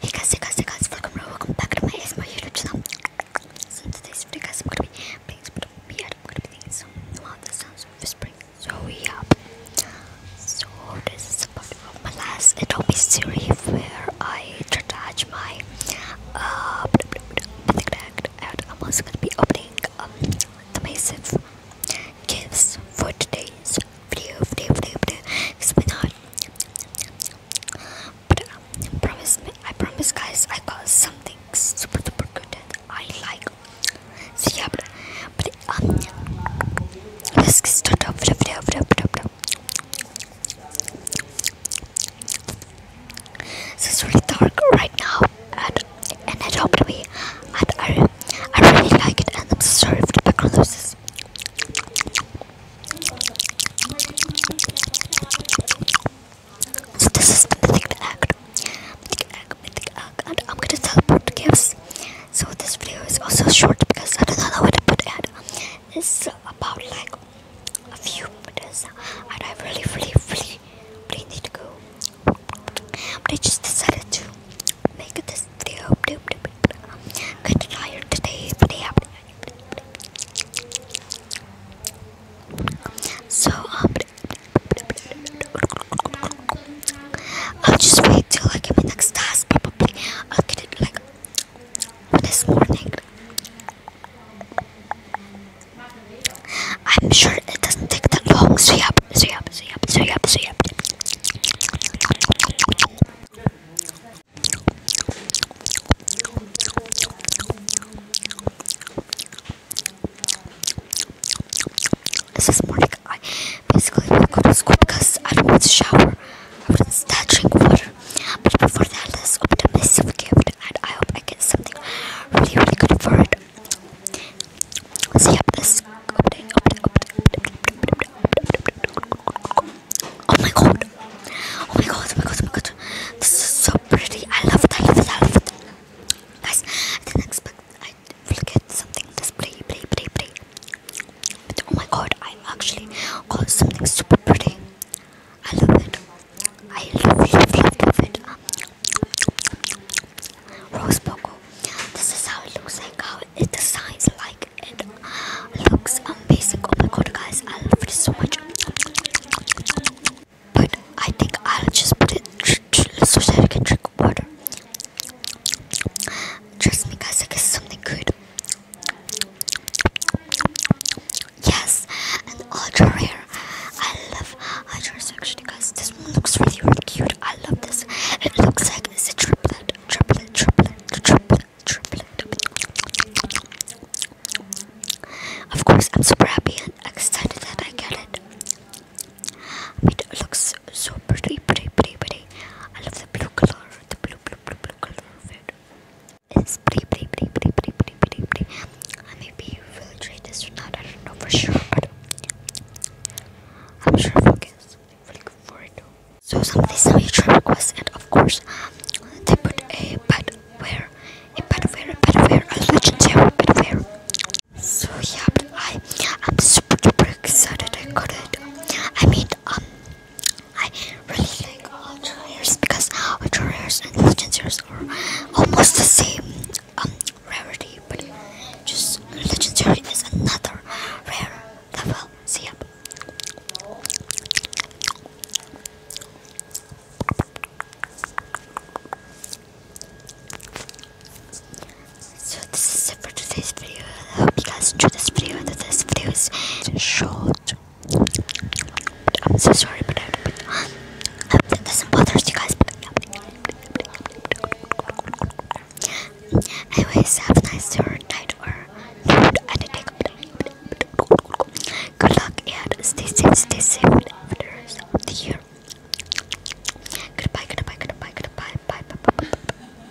Hey guys, hey guys, hey guys, welcome, welcome back to my ASMR YouTube channel. So in today's video guys, I'm gonna be playing some weird, I'm gonna be thinking some, wow, the sounds of whispering. So yeah, so this is a part of my last Adobe series where I attach my, uh, and I'm also gonna be opening, um, the massive tips for today's video, video, video, video. Cause we not. But um, promise I promise, guys, I got something super, super good that I like. So yeah, but, but um, let's get started off the video, video, video, video. it's really dark right now, and and I don't know. And I I really like it and I'm sorry for the background noises. So this is the mythic egg. Mythic egg, mythic egg. And I'm gonna teleport gifts. So this video is also short because I don't know what to put it. It's about like a few minutes and I really really really really need to go. But I just decided to make this video. I'm today, but So, um, I'll just wait till I get my next task. Probably I'll get it like this morning. I'm sure it doesn't take that long. Sweep up, sweep up, sweep up, sweep up, sweep up. This is morning. I basically woke up to school because I don't want to shower. I was touching water. But before that, let's open a massive gift and I hope I get something really, really good for it it. So yeah, this update, update, update. Oh my god. Oh my god, oh my god, oh my god. This is so pretty. I love it, I love it, I love it. Guys, I didn't expect I will get something this pretty, pretty, pretty, pretty. But oh my god, I actually got something super pretty. I love it. I love, love, love, love it. Rose Poco. This is how it looks like, how it designs like it uh, looks amazing. Oh my god, guys, I love it so much. But I think I'll just put it so that I can drink water. Trust me, guys, I guess something good. Yes, and ultra rare. I love ultra actually, guys. This one looks really, really cute. I love this. It looks like it's a triplet, triplet, triplet, triplet, triplet. Of course, I'm super happy and excited that I get it. It looks so pretty, pretty, pretty, pretty. I love the blue color, the blue, blue, blue, blue color of it spray, spray, spray, spray, spray, spray, spray. And maybe you will try this or not. I don't know for sure, but I'm sure focus will go for it. So some of these are YouTube requests, and of course they put a pet padware, a pet padware, a padware, a legendary padware. So yeah, but I am super super excited. I got it. I mean, um, I really like Ultra Rares because Ultra Rares and Legend Rares are almost the same um, rarity, but just legendary is another rare level. See up. So this is it for today's video. I hope you guys enjoy this video. That this video is short. I'm so sorry, but I hope that doesn't bother you guys. But Anyways, have a nice night or night and good luck and stay safe, stay safe Goodbye, goodbye, goodbye, goodbye, bye, bye. bye.